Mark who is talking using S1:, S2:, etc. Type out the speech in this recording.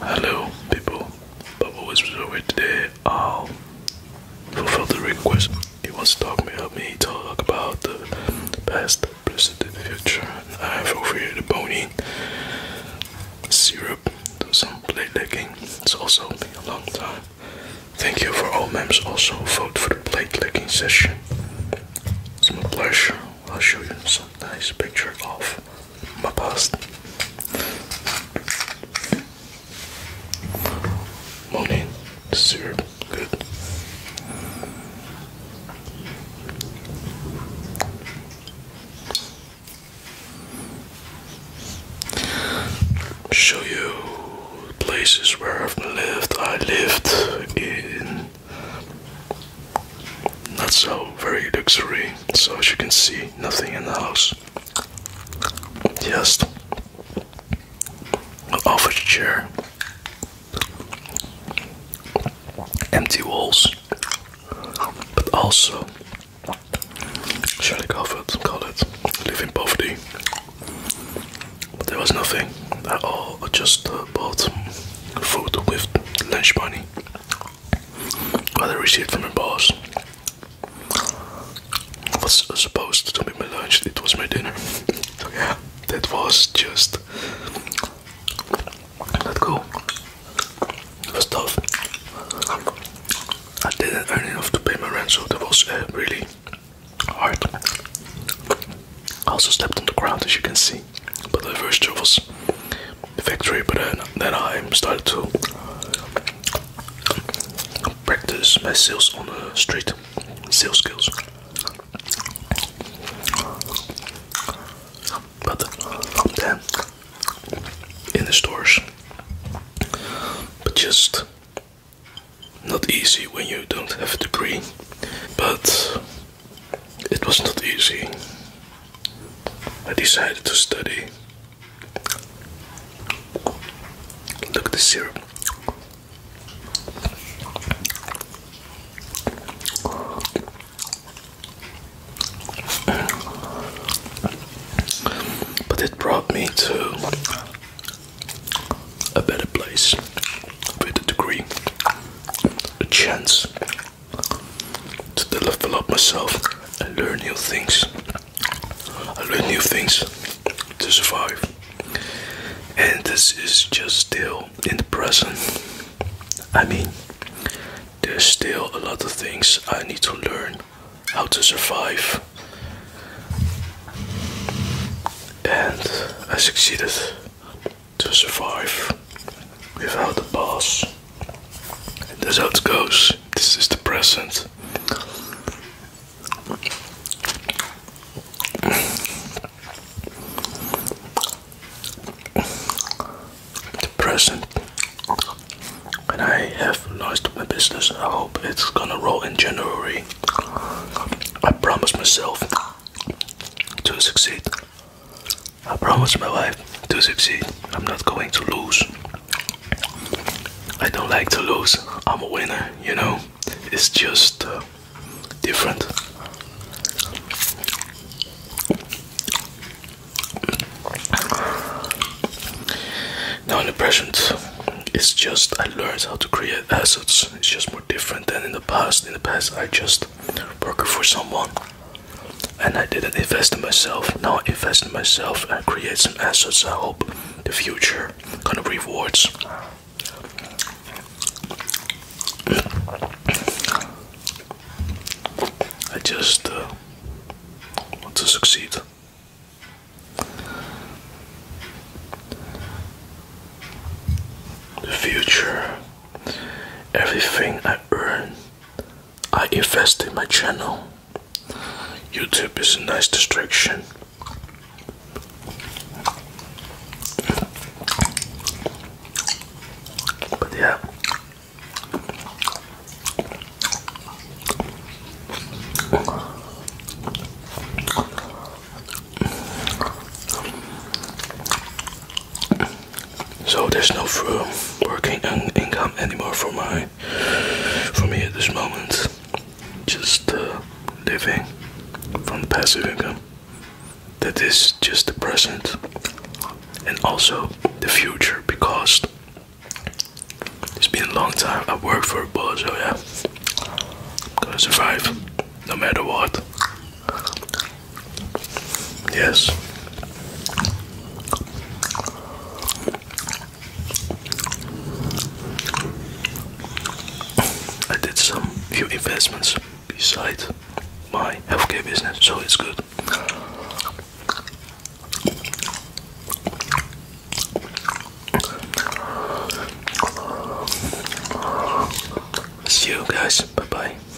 S1: Hello, people. Bubble was sorry today. I'll um, fulfill the request. He wants to talk me up. Me talk about the past, present, and future. And I fulfill the bony syrup. Do some plate licking. It's also been a long time. Thank you for all members. Also, vote for the plate licking session. It's my pleasure. I'll show you some nice picture of my past. Morning, syrup, good. Show you places where I've lived. I lived in not so very luxury, so as you can see, nothing in the house. Just an office chair, empty walls, but also surely covered, call it, live in poverty. But there was nothing at all, just uh, bought food with lunch money that I received from my boss. It was supposed to be my lunch, it was my dinner. that was just not cool. It was tough. I didn't earn enough to pay my rent, so it was uh, really hard. I also slept on the ground, as you can see, but the first job was victory, but then, then I started to practice my sales on the street, sales skills. But then in the stores, but just not easy when you don't have a degree. But it was not easy. I decided to study. Look at this syrup. But it brought me to a better place with a degree, a chance to develop myself and learn new things. I learn new things to survive. And this is just still in the present. I mean, there's still a lot of things I need to learn how to survive. And I succeeded to survive without the boss. this that's how it goes. This is the present. The present. And I have launched my business. I hope it's gonna roll in January. I promise myself to succeed. I promised my wife to succeed. I'm not going to lose. I don't like to lose. I'm a winner, you know? It's just uh, different. Now, in the present, it's just I learned how to create assets. It's just more different than in the past. In the past, I just worked for someone and I didn't invest in myself. Now I invest in myself and create some assets. I hope the future kind of rewards. I just uh, want to succeed. The future, everything I earn I invest in my channel. YouTube is a nice distraction. But yeah. So there's no full working income anymore for my for me at this moment. Just uh, living from passive income. That is just the present and also the future because it's been a long time. I worked for a boss, so yeah, I'm gonna survive no matter what. Yes. I did some few investments beside my healthcare business, so it's good. See you guys. Bye bye.